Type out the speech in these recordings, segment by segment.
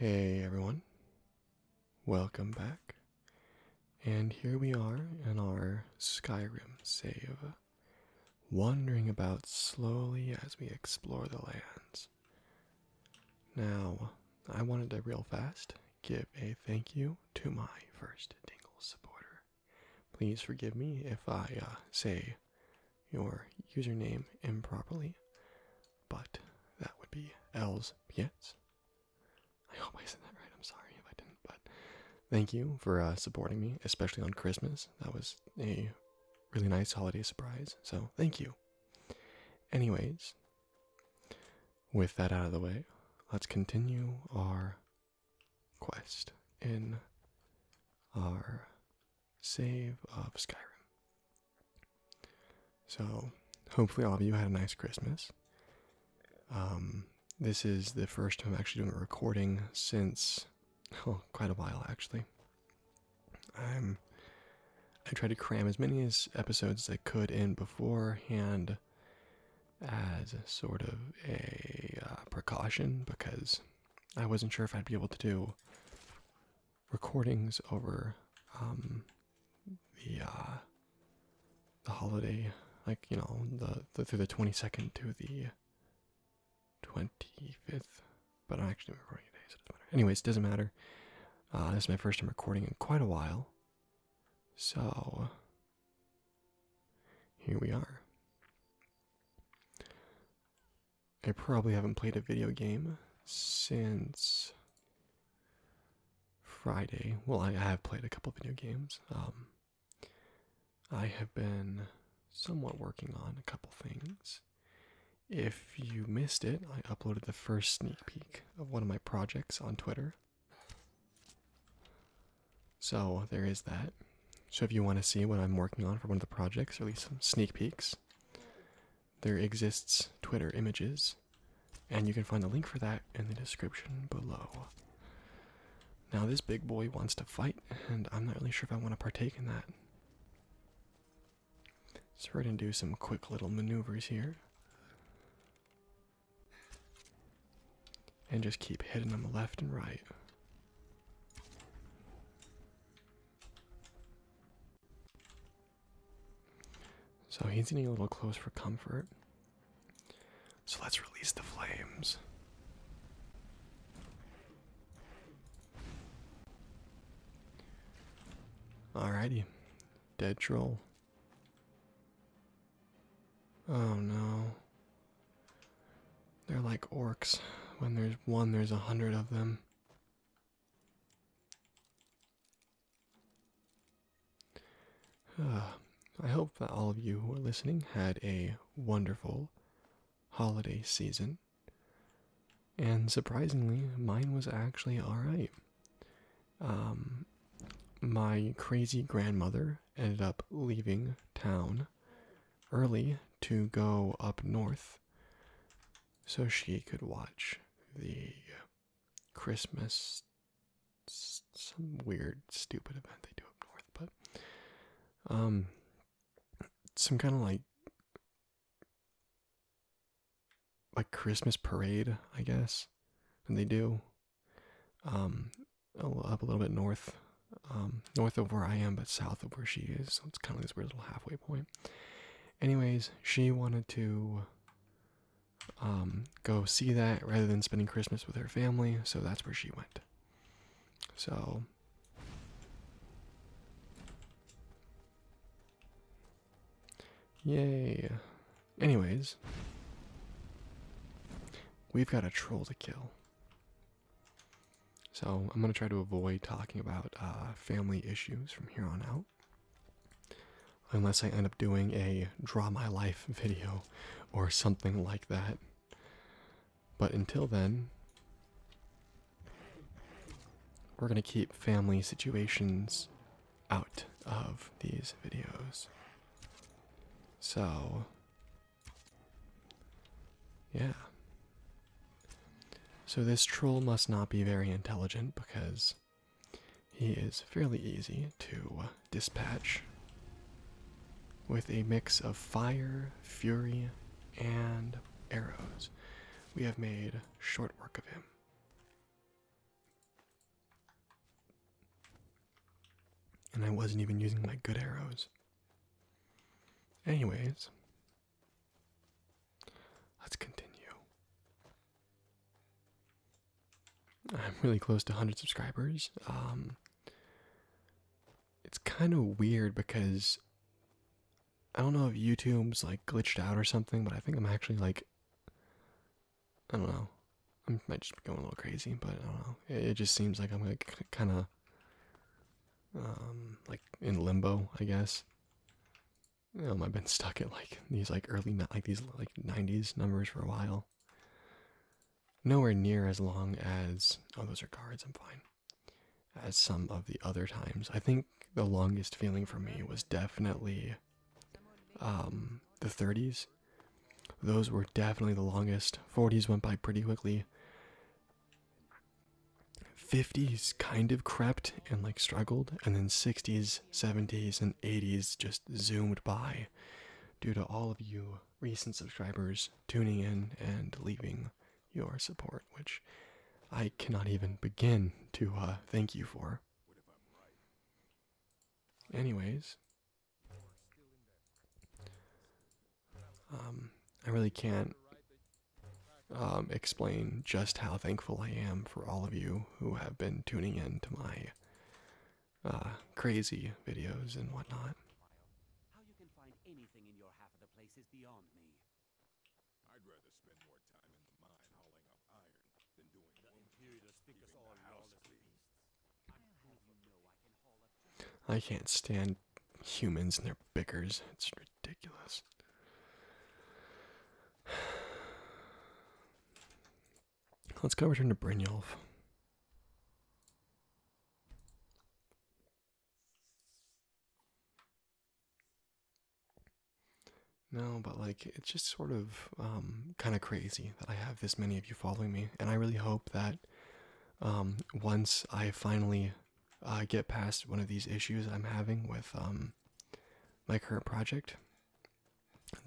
Hey everyone, welcome back. And here we are in our Skyrim save, wandering about slowly as we explore the lands. Now, I wanted to real fast give a thank you to my first Dingle supporter. Please forgive me if I uh, say your username improperly, but that would be Els Pietz. I hope I said that right. I'm sorry if I didn't, but thank you for uh, supporting me, especially on Christmas. That was a really nice holiday surprise, so thank you. Anyways, with that out of the way, let's continue our quest in our save of Skyrim. So, hopefully, all of you had a nice Christmas. Um, this is the first time I'm actually doing a recording since oh, quite a while, actually. I'm I tried to cram as many as episodes as I could in beforehand as sort of a uh, precaution because I wasn't sure if I'd be able to do recordings over um, the uh, the holiday, like you know, the, through the twenty second to the twenty fifth. But I'm actually recording today, so it doesn't matter. Anyways, doesn't matter. Uh, this is my first time recording in quite a while, so here we are. I probably haven't played a video game since Friday. Well, I have played a couple video games. Um, I have been somewhat working on a couple things. If you missed it, I uploaded the first sneak peek of one of my projects on Twitter. So there is that. So if you want to see what I'm working on for one of the projects, or at least some sneak peeks, there exists Twitter images, and you can find the link for that in the description below. Now this big boy wants to fight, and I'm not really sure if I want to partake in that. So we're gonna do some quick little maneuvers here. And just keep hitting them left and right. So he's getting a little close for comfort. So let's release the flames. Alrighty, dead troll. Oh no. They're like orcs. When there's one, there's a hundred of them. Uh, I hope that all of you who are listening had a wonderful holiday season. And surprisingly, mine was actually alright. Um, my crazy grandmother ended up leaving town early to go up north so she could watch the Christmas some weird stupid event they do up north but um some kind of like like Christmas parade I guess and they do um up a little bit north, um, north of where I am, but south of where she is. So it's kind of this weird little halfway point. Anyways, she wanted to um, go see that rather than spending Christmas with her family, so that's where she went. So. Yay. Anyways, we've got a troll to kill. So I'm going to try to avoid talking about uh, family issues from here on out. Unless I end up doing a draw my life video or something like that. But until then, we're going to keep family situations out of these videos. So, yeah. So this troll must not be very intelligent because he is fairly easy to dispatch with a mix of fire, fury, and arrows. We have made short work of him. And I wasn't even using my good arrows. Anyways, let's continue. I'm really close to 100 subscribers. Um, it's kind of weird because I don't know if YouTube's like glitched out or something, but I think I'm actually like, I don't know. I might just be going a little crazy, but I don't know. It, it just seems like I'm like kind of um, like in limbo, I guess. Um, I've been stuck at like these like early like these like 90s numbers for a while. Nowhere near as long as oh those are cards. I'm fine. As some of the other times, I think the longest feeling for me was definitely um, the 30s. Those were definitely the longest. 40s went by pretty quickly. 50s kind of crept and like struggled, and then 60s, 70s, and 80s just zoomed by due to all of you recent subscribers tuning in and leaving your support, which I cannot even begin to uh, thank you for. Anyways, um, I really can't um, explain just how thankful I am for all of you who have been tuning in to my uh, crazy videos and whatnot. I can't stand humans and their bickers. It's ridiculous. Let's go return to Brynjolf. No, but like it's just sort of um, kind of crazy that I have this many of you following me, and I really hope that um, once I finally uh, get past one of these issues I'm having with um, my current project,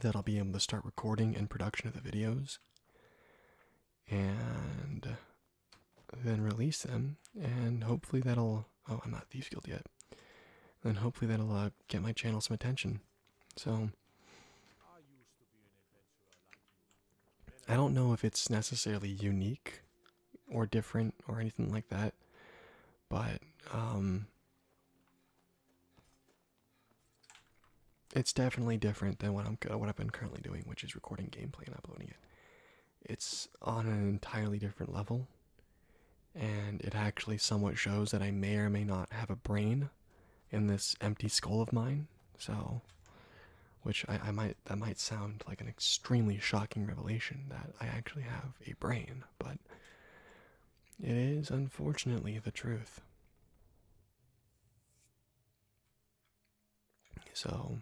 that I'll be able to start recording and production of the videos and then release them. And hopefully that'll. Oh, I'm not Thieves Guild yet. Then hopefully that'll uh, get my channel some attention. So, I don't know if it's necessarily unique or different or anything like that, but um, it's definitely different than what I'm what I've been currently doing, which is recording gameplay and uploading it. It's on an entirely different level, and it actually somewhat shows that I may or may not have a brain in this empty skull of mine. So, which I, I might that might sound like an extremely shocking revelation that I actually have a brain, but it is unfortunately the truth. So.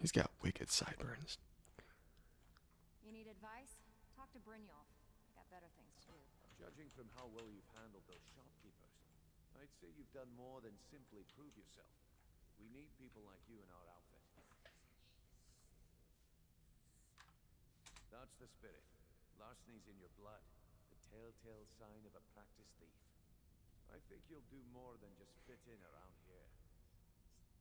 He's got wicked sideburns. You need advice? Talk to Brynjolf. I got better things to do. Judging from how well you've handled those shopkeepers, I'd say you've done more than simply prove yourself. We need people like you in our outfit. That's the spirit. Larceny's in your blood. The telltale sign of a practiced thief. I think you'll do more than just fit in around here.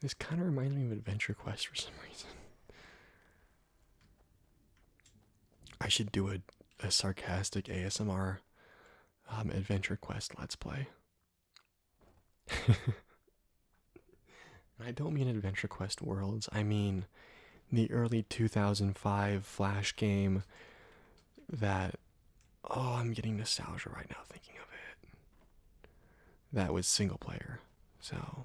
This kind of reminds me of Adventure Quest for some reason. I should do a, sarcastic ASMR um, Adventure Quest Let's Play. I don't mean Adventure Quest Worlds, I mean the early 2005 Flash game that. Oh, I'm getting nostalgia right now thinking of it. That was single player, so.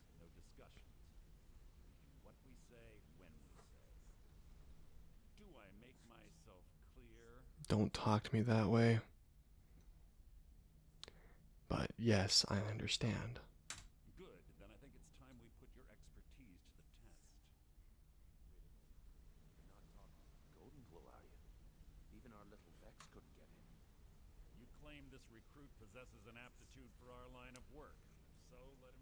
do Don't talk to me that way. But yes, I understand. Good, then I think it's time we put your expertise to the test. You're not talking Golden Glow, are you? Even our little Vex couldn't get him. You claim this recruit possesses an aptitude for our line of work. So let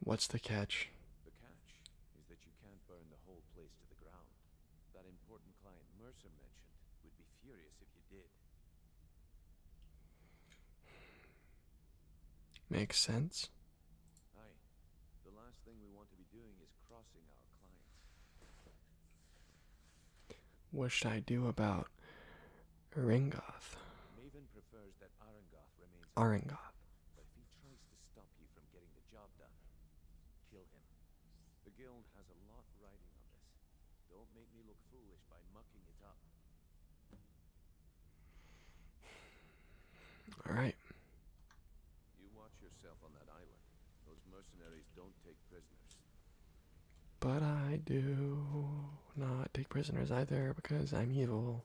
What's the catch? The catch is that you can't burn the whole place to the ground. That important client Mercer mentioned would be furious if you did. Makes sense. Aye. The last thing we want to be doing is crossing our clients. What should I do about Arengoth? Maven prefers that Arengoth remains but if he tries to stop you from getting the job done, kill him. The guild has a lot riding on this. Don't make me look foolish by mucking it up. All right. You watch yourself on that island. Those mercenaries don't take prisoners. But I do not take prisoners either because I'm evil.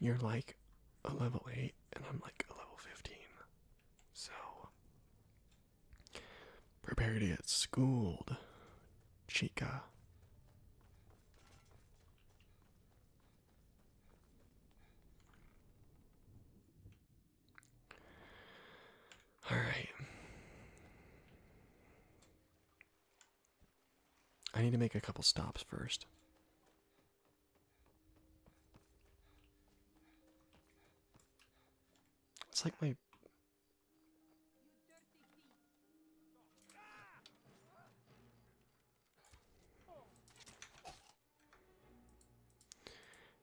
You're like a level 8, and I'm like a level 15. So, prepare to get schooled, Chica. All right. I need to make a couple stops first. It's like my.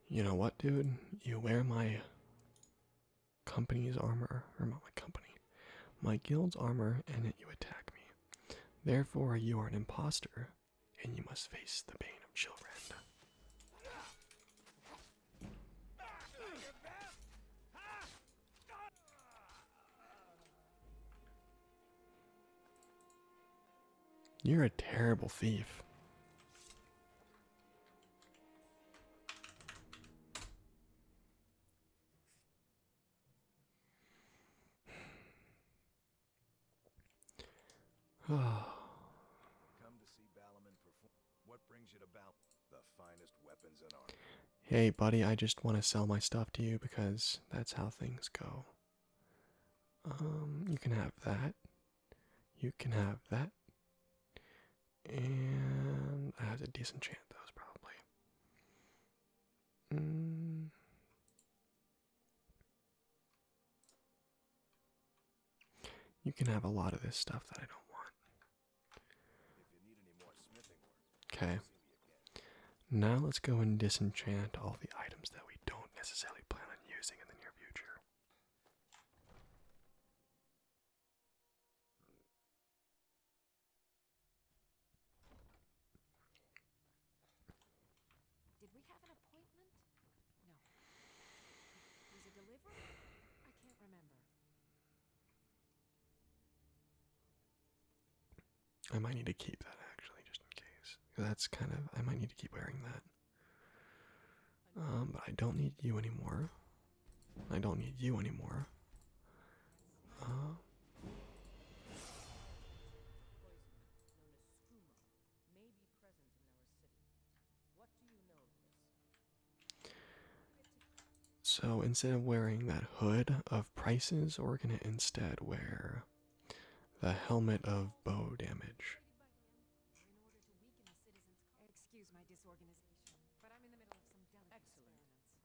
You know what, dude? You wear my company's armor, or not my company, my guild's armor, and yet you attack me. Therefore, you are an impostor, and you must face the pain of Chilrenda. You're a terrible thief. Hey, buddy, I just want to sell my stuff to you because that's how things go. Um, you can have that. You can have that. And I have a to disenchant those probably. Mm. You can have a lot of this stuff that I don't want. Okay. Now let's go and disenchant all the items that we don't necessarily plan on using in the near future. Did we have an appointment? No. Was it delivery? I can't remember. I might need to keep that actually, just in case. That's kind of. I might need to keep wearing that. Um, but I don't need you anymore. I don't need you anymore. So instead of wearing that hood of prices, we're going to instead wear the helmet of bow damage.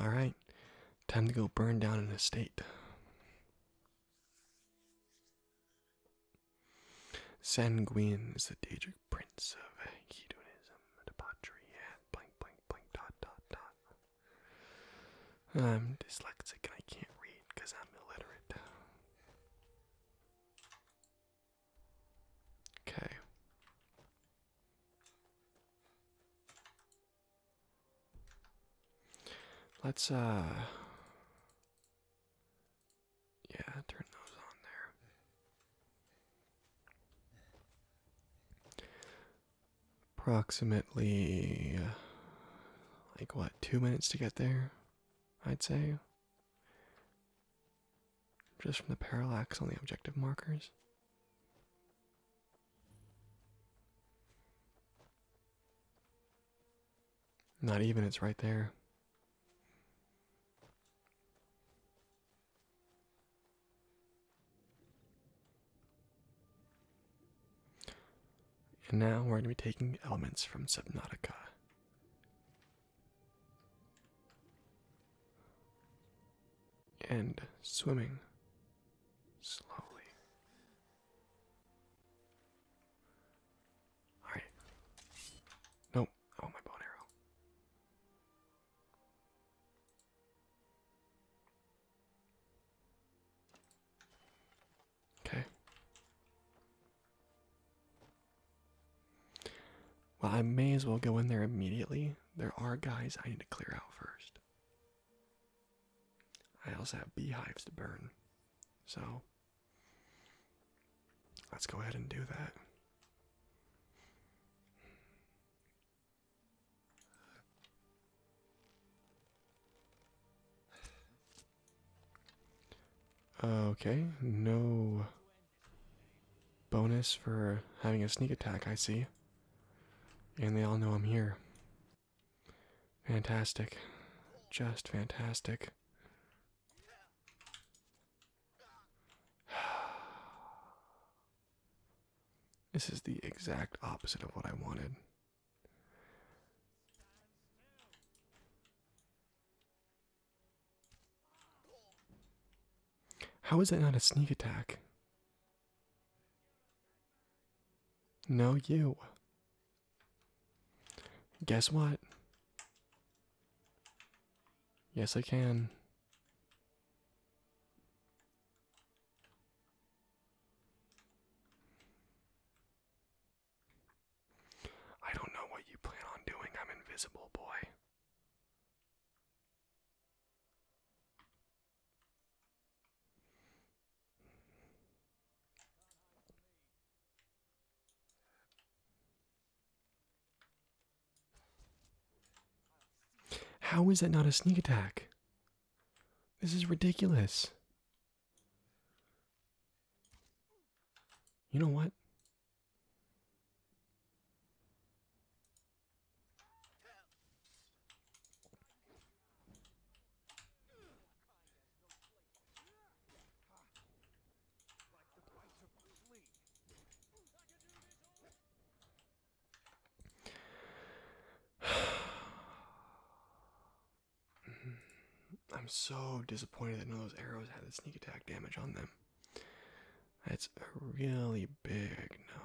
Alright, time to go burn down an estate. Sanguine is the Daedric prince of hedonism, debauchery, and blank, blank, blank, dot, dot, dot. I'm dyslexic and I can't read because I'm illiterate. Okay. Let's, uh, yeah, turn those on there. Approximately, uh, like what, two minutes to get there, I'd say. Just from the parallax on the objective markers. Not even, it's right there. And now we're going to be taking elements from Subnautica. And swimming slowly. Alright. Nope. Oh, my bone arrow. Okay. Well, I may as well go in there immediately. There are guys I need to clear out first. I also have beehives to burn. So let's go ahead and do that. Okay, no bonus for having a sneak attack, I see. And they all know I'm here. Fantastic. Just fantastic. This is the exact opposite of what I wanted. How is that not a sneak attack? No, you. Guess what? Yes, I can. I don't know what you plan on doing. I'm invisible, boy. How is that not a sneak attack? This is ridiculous. You know what? I'm so disappointed that none of those arrows had the sneak attack damage on them. That's a really big no no.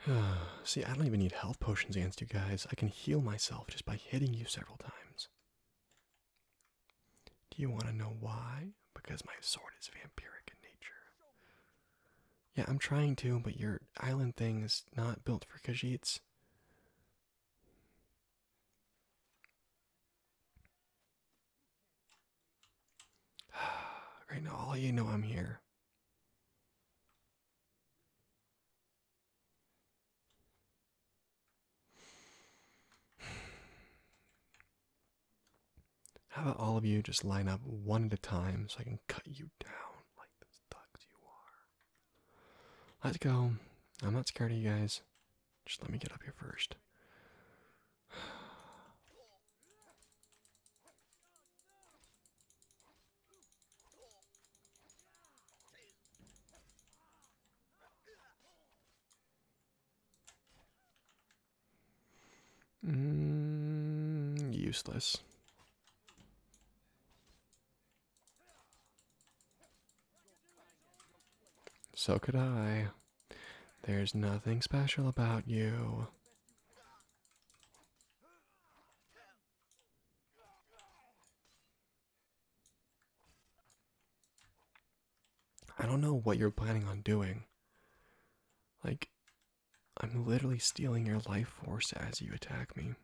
See, I don't even need health potions against you guys. I can heal myself just by hitting you several times. Do you want to know why? Because my sword is vampiric in nature. Yeah, I'm trying to, but your island thing is not built for Khajiits. right now, all you know I'm here. How about all of you just line up one at a time so I can cut you down like those thugs you are? Let's go. I'm not scared of you guys. Just let me get up here first. Mm, useless. So could I. There's nothing special about you. I don't know what you're planning on doing. Like, I'm literally stealing your life force as you attack me.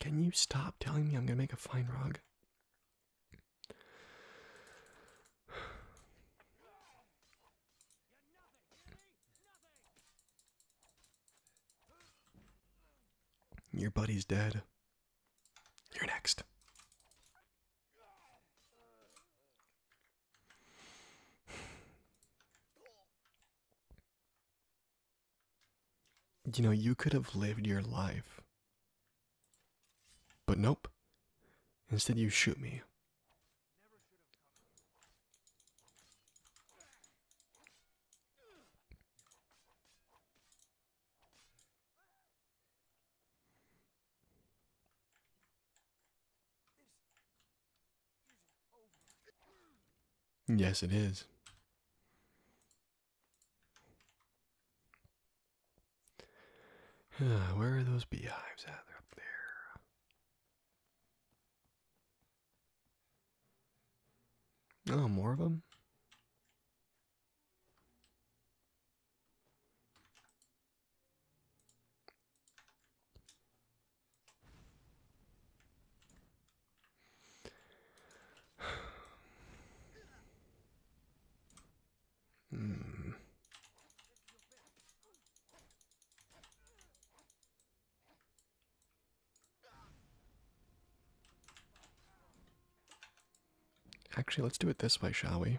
Can you stop telling me I'm gonna make a fine rug? Your buddy's dead. You're next. You know, you could have lived your life. But nope. Instead, you shoot me. Yes, it is. Where are those beehives at? They're up there. Oh, more of them? hmm. Actually, let's do it this way, shall we?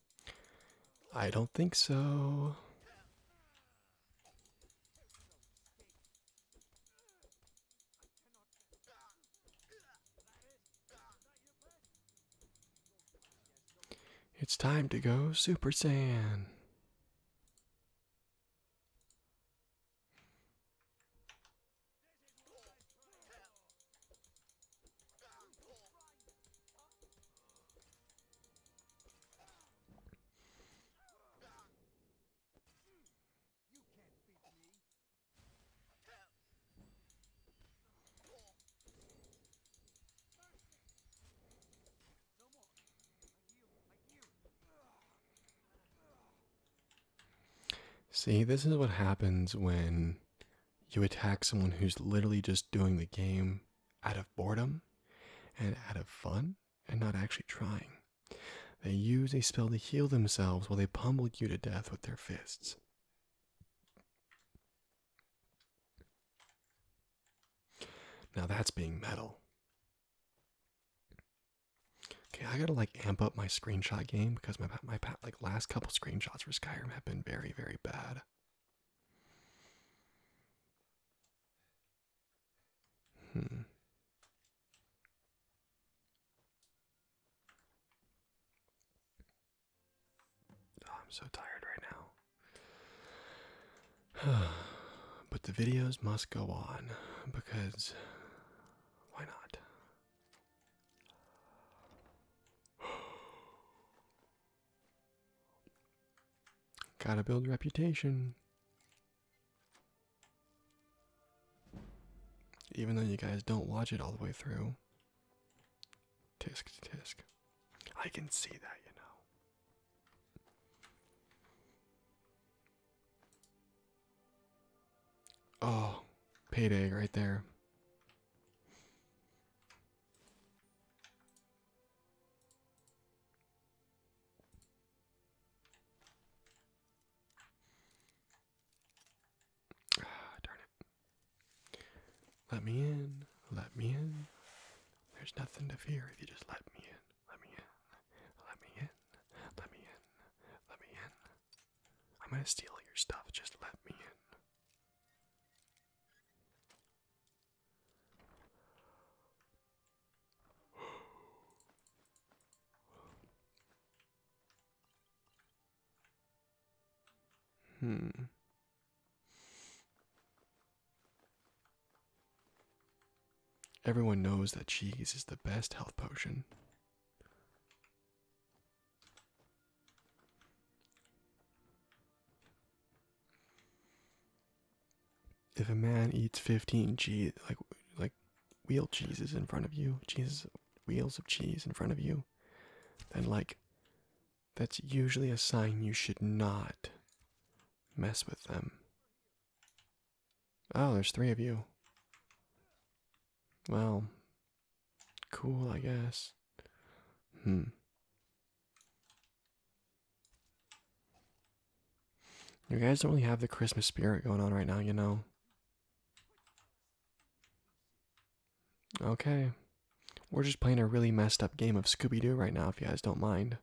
I don't think so. It's time to go Super Saiyan. See, this is what happens when you attack someone who's literally just doing the game out of boredom and out of fun and not actually trying. They use a spell to heal themselves while they pummel you to death with their fists. Now that's being metal. Okay, I gotta like amp up my screenshot game because my my like last couple screenshots for Skyrim have been very very bad. Hmm. Oh, I'm so tired right now. but the videos must go on because why not? Gotta build reputation. Even though you guys don't watch it all the way through. Tisk tisk. I can see that, you know. Oh, payday right there. Ah, darn it. Let me in. Let me in. There's nothing to fear if you just let me in. Let me in. Let me in. Let me in. Let me in. I'm gonna steal your stuff. Just let me in hmm. Everyone knows that cheese is the best health potion. If a man eats 15 cheese, like like wheel cheeses in front of you, cheese wheels of cheese in front of you, then like that's usually a sign you should not mess with them. Oh, there's three of you. Well, cool, I guess. Hmm. You guys don't really have the Christmas spirit going on right now, you know. Okay. We're just playing a really messed up game of Scooby Doo right now, if you guys don't mind.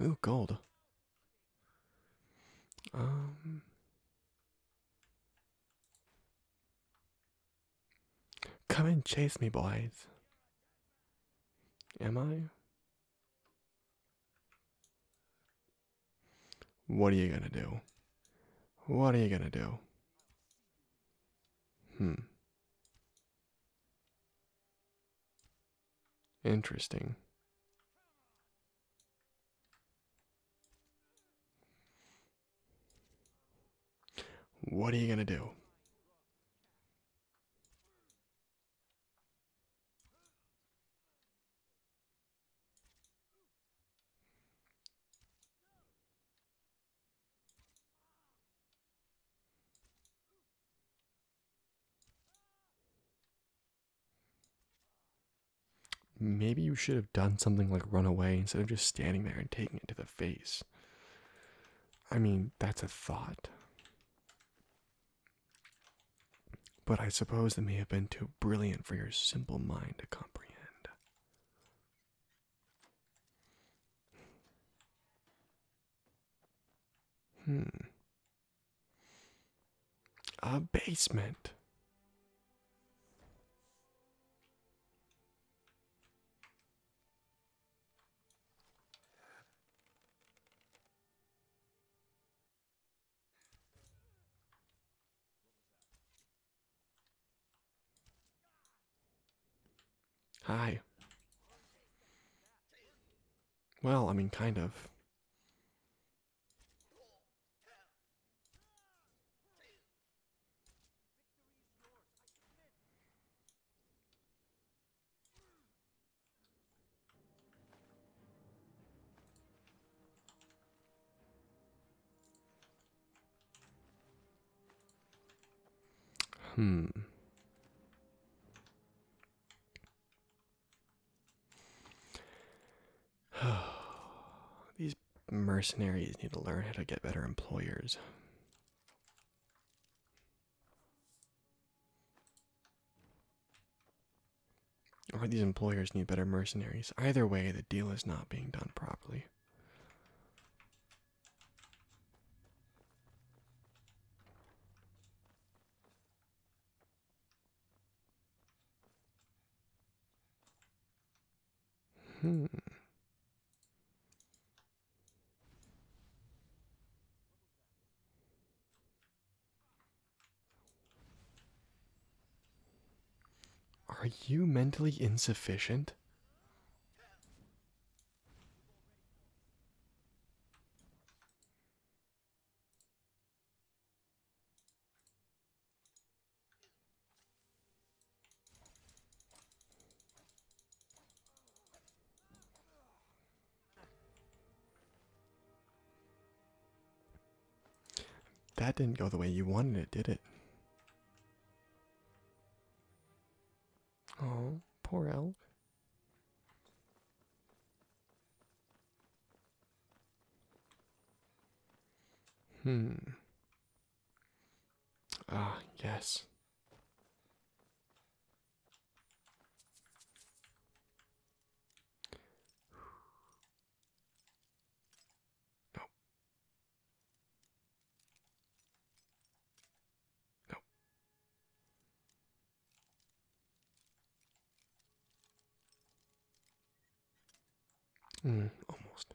Ooh, gold. Um. Come and chase me, boys. Am I? What are you gonna do? What are you gonna do? Hmm. Interesting. What are you going to do? Maybe you should have done something like run away instead of just standing there and taking it to the face. I mean, that's a thought. But I suppose it may have been too brilliant for your simple mind to comprehend. Hmm. A basement. Hi. Well, I mean, kind of. Hmm. These mercenaries need to learn how to get better employers. Or these employers need better mercenaries. Either way, the deal is not being done properly. Hmm. Are you mentally insufficient? That didn't go the way you wanted it, did it? Oh, poor elk. Hmm. Ah, yes. No. No. Mm, almost.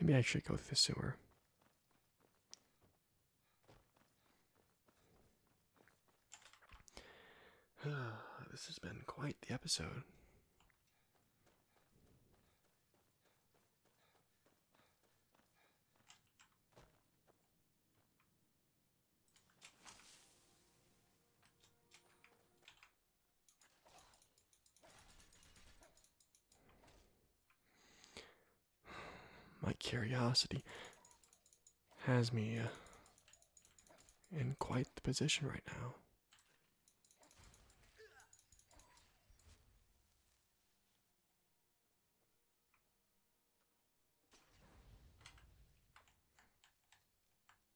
Maybe I should go through the sewer. this has been quite the episode. My curiosity has me uh, in quite the position right now.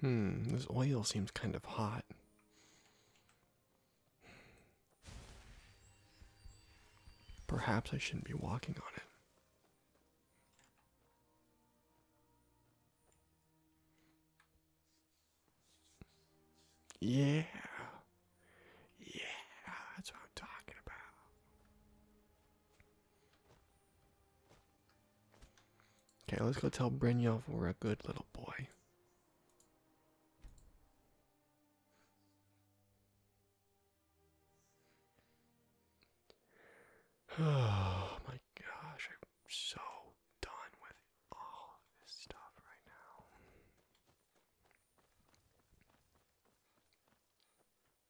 Hmm, this oil seems kind of hot. Perhaps I shouldn't be walking on it. Yeah. Yeah, that's what I'm talking about. Okay, let's go tell Brynjolf we're a good little boy. Oh my gosh, I'm so done with all of this stuff right now.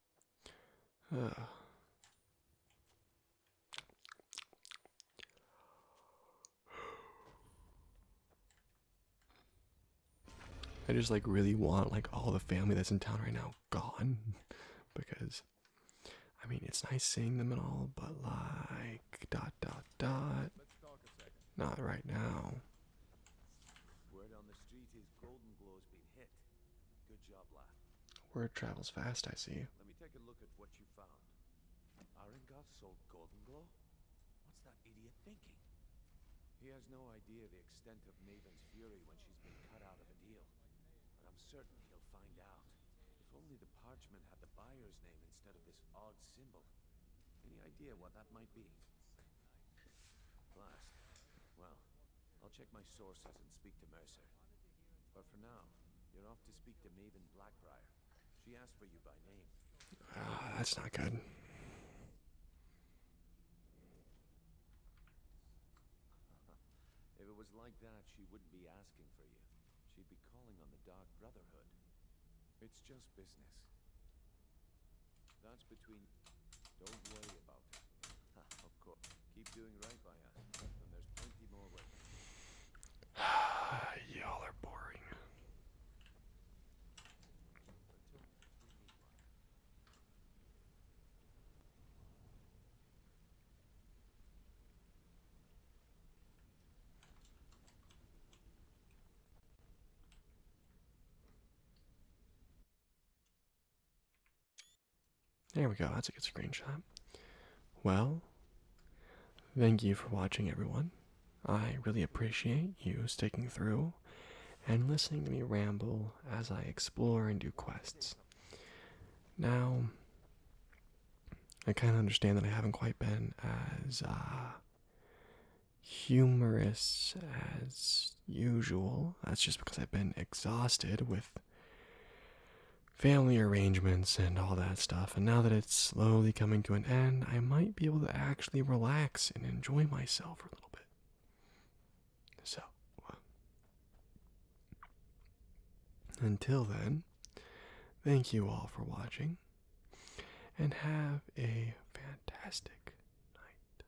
I just like really want like all the family that's in town right now gone because I mean it's nice seeing them and all but like dot dot dot not right now Word travels fast, I see. Let me take a look at what you found. Arengar sold golden glow? What's that idiot thinking? He has no idea the extent of Maven's fury when she's been cut out of a deal. But I'm certain he'll find out. If only the parchment had the buyer's name instead of this odd symbol. Any idea what that might be? Blast. Well, I'll check my sources and speak to Mercer. But for now, you're off to speak to Maven Blackbriar. She asked for you by name. Ah, oh, that's not good. if it was like that, she wouldn't be asking for you. She'd be calling on the Dark Brotherhood. It's just business. That's between... Don't worry about it. of course. Keep doing right by us, and there's plenty more work. Y'all are boring. There we go, that's a good screenshot. Well, thank you for watching, everyone. I really appreciate you sticking through and listening to me ramble as I explore and do quests. Now, I kind of understand that I haven't quite been as uh, humorous as usual. That's just because I've been exhausted with family arrangements and all that stuff. And now that it's slowly coming to an end, I might be able to actually relax and enjoy myself for a little bit. So, until then, thank you all for watching and have a fantastic night.